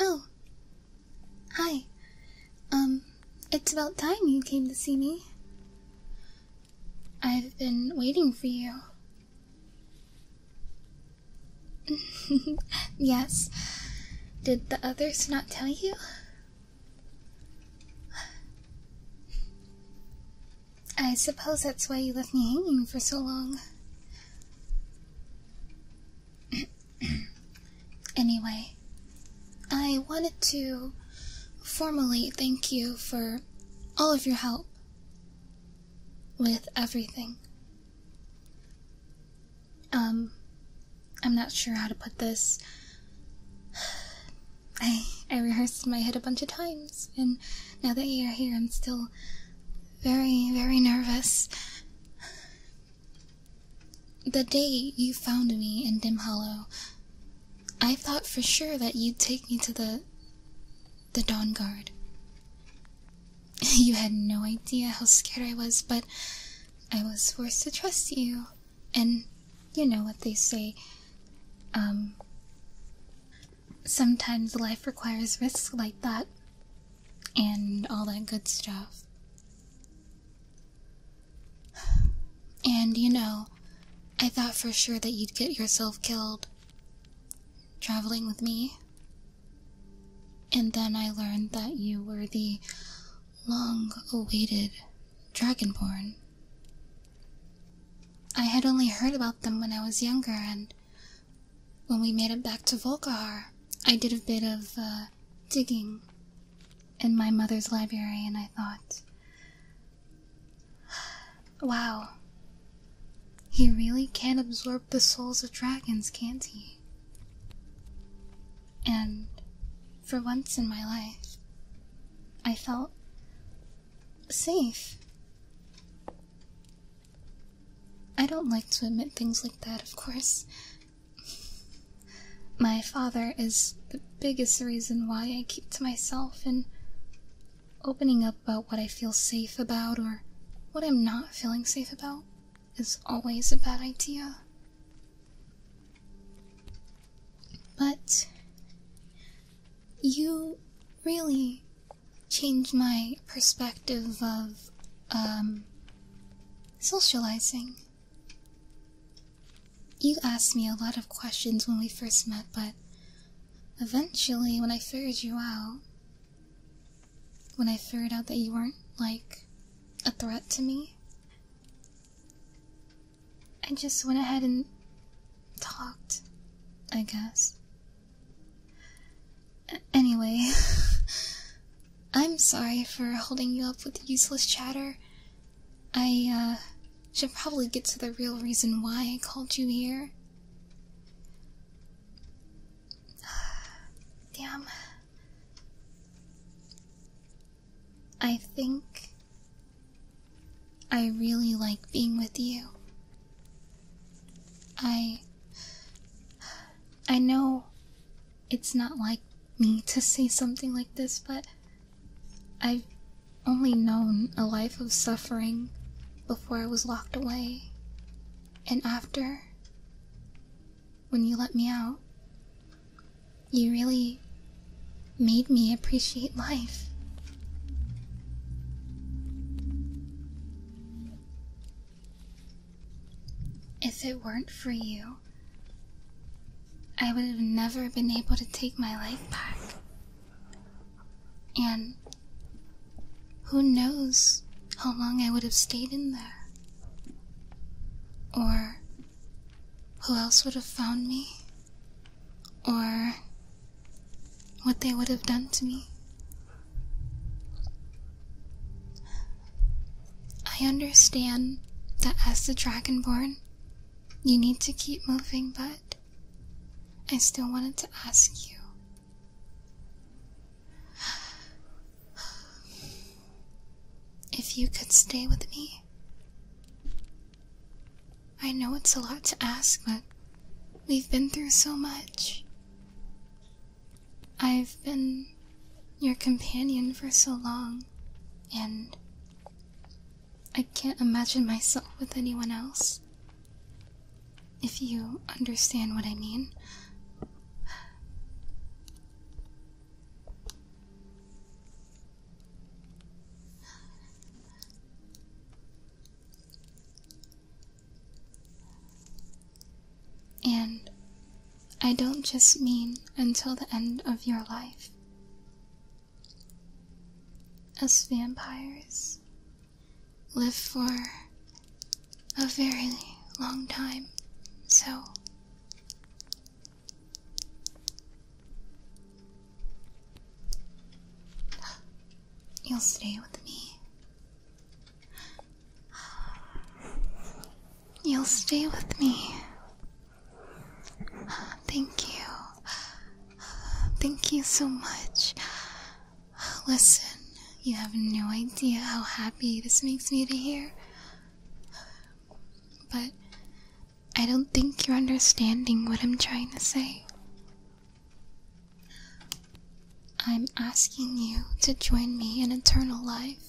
Oh, hi. Um, it's about time you came to see me. I've been waiting for you. yes. Did the others not tell you? I suppose that's why you left me hanging for so long. anyway, I wanted to formally thank you for all of your help with everything. Um, I'm not sure how to put this. I I rehearsed my head a bunch of times, and now that you're here, I'm still very, very nervous. The day you found me in Dim Hollow, I thought for sure that you'd take me to the the Dawn Guard. You had no idea how scared I was, but I was forced to trust you. And you know what they say. Um sometimes life requires risks like that and all that good stuff. And you know, I thought for sure that you'd get yourself killed traveling with me. And then I learned that you were the long awaited Dragonborn. I had only heard about them when I was younger, and when we made it back to Volkhar, I did a bit of uh, digging in my mother's library, and I thought, wow, he really can not absorb the souls of dragons, can't he? And for once in my life, I felt safe. I don't like to admit things like that, of course. My father is the biggest reason why I keep to myself and opening up about what I feel safe about or what I'm not feeling safe about is always a bad idea. But you really change my perspective of um, socializing. You asked me a lot of questions when we first met, but eventually, when I figured you out, when I figured out that you weren't like a threat to me, I just went ahead and talked, I guess. Anyway, I'm sorry for holding you up with useless chatter. I, uh, should probably get to the real reason why I called you here. Damn. I think I really like being with you. I. I know it's not like me to say something like this, but I've only known a life of suffering before I was locked away. And after, when you let me out, you really made me appreciate life. If it weren't for you, I would have never been able to take my life back. And who knows how long I would have stayed in there? Or who else would have found me? Or what they would have done to me. I understand that as the Dragonborn, you need to keep moving, but I still wanted to ask you. If you could stay with me, I know it's a lot to ask, but we've been through so much. I've been your companion for so long, and I can't imagine myself with anyone else. If you understand what I mean. And I don't just mean until the end of your life. Us vampires live for a very long time, so You'll stay with me. You'll stay with me. Thank you. Thank you so much. Listen, you have no idea how happy this makes me to hear. But I don't think you're understanding what I'm trying to say. I'm asking you to join me in eternal life.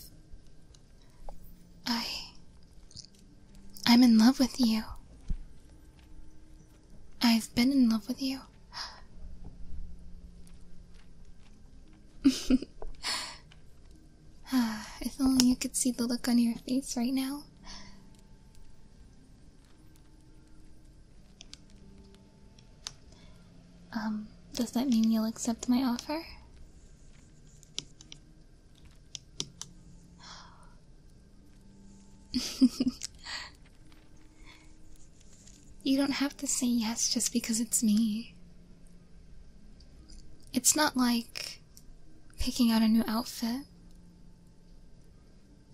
I. I'm in love with you. I've been in love with you. Ah, if only you could see the look on your face right now. Um, does that mean you'll accept my offer? you don't have to say yes just because it's me. It's not like picking out a new outfit.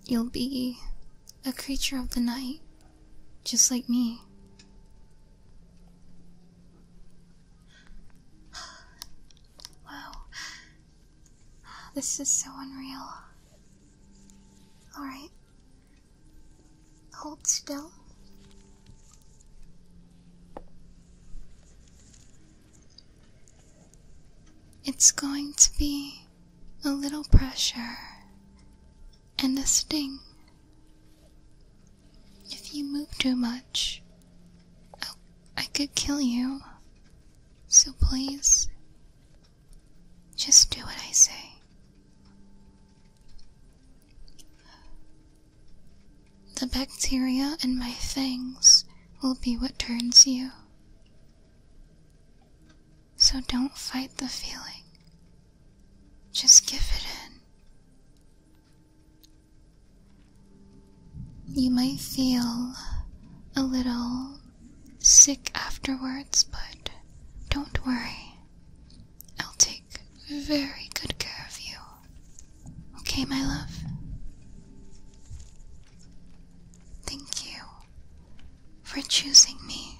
You'll be a creature of the night, just like me. Wow. This is so unreal. Alright. Hold still. It's going to be a little pressure and a sting. If you move too much, oh, I could kill you. So please, just do what I say. The bacteria in my fangs will be what turns you. So don't fight the feeling. Just give it in. You might feel a little sick afterwards, but don't worry. I'll take very good care of you. Okay, my love? Thank you for choosing me.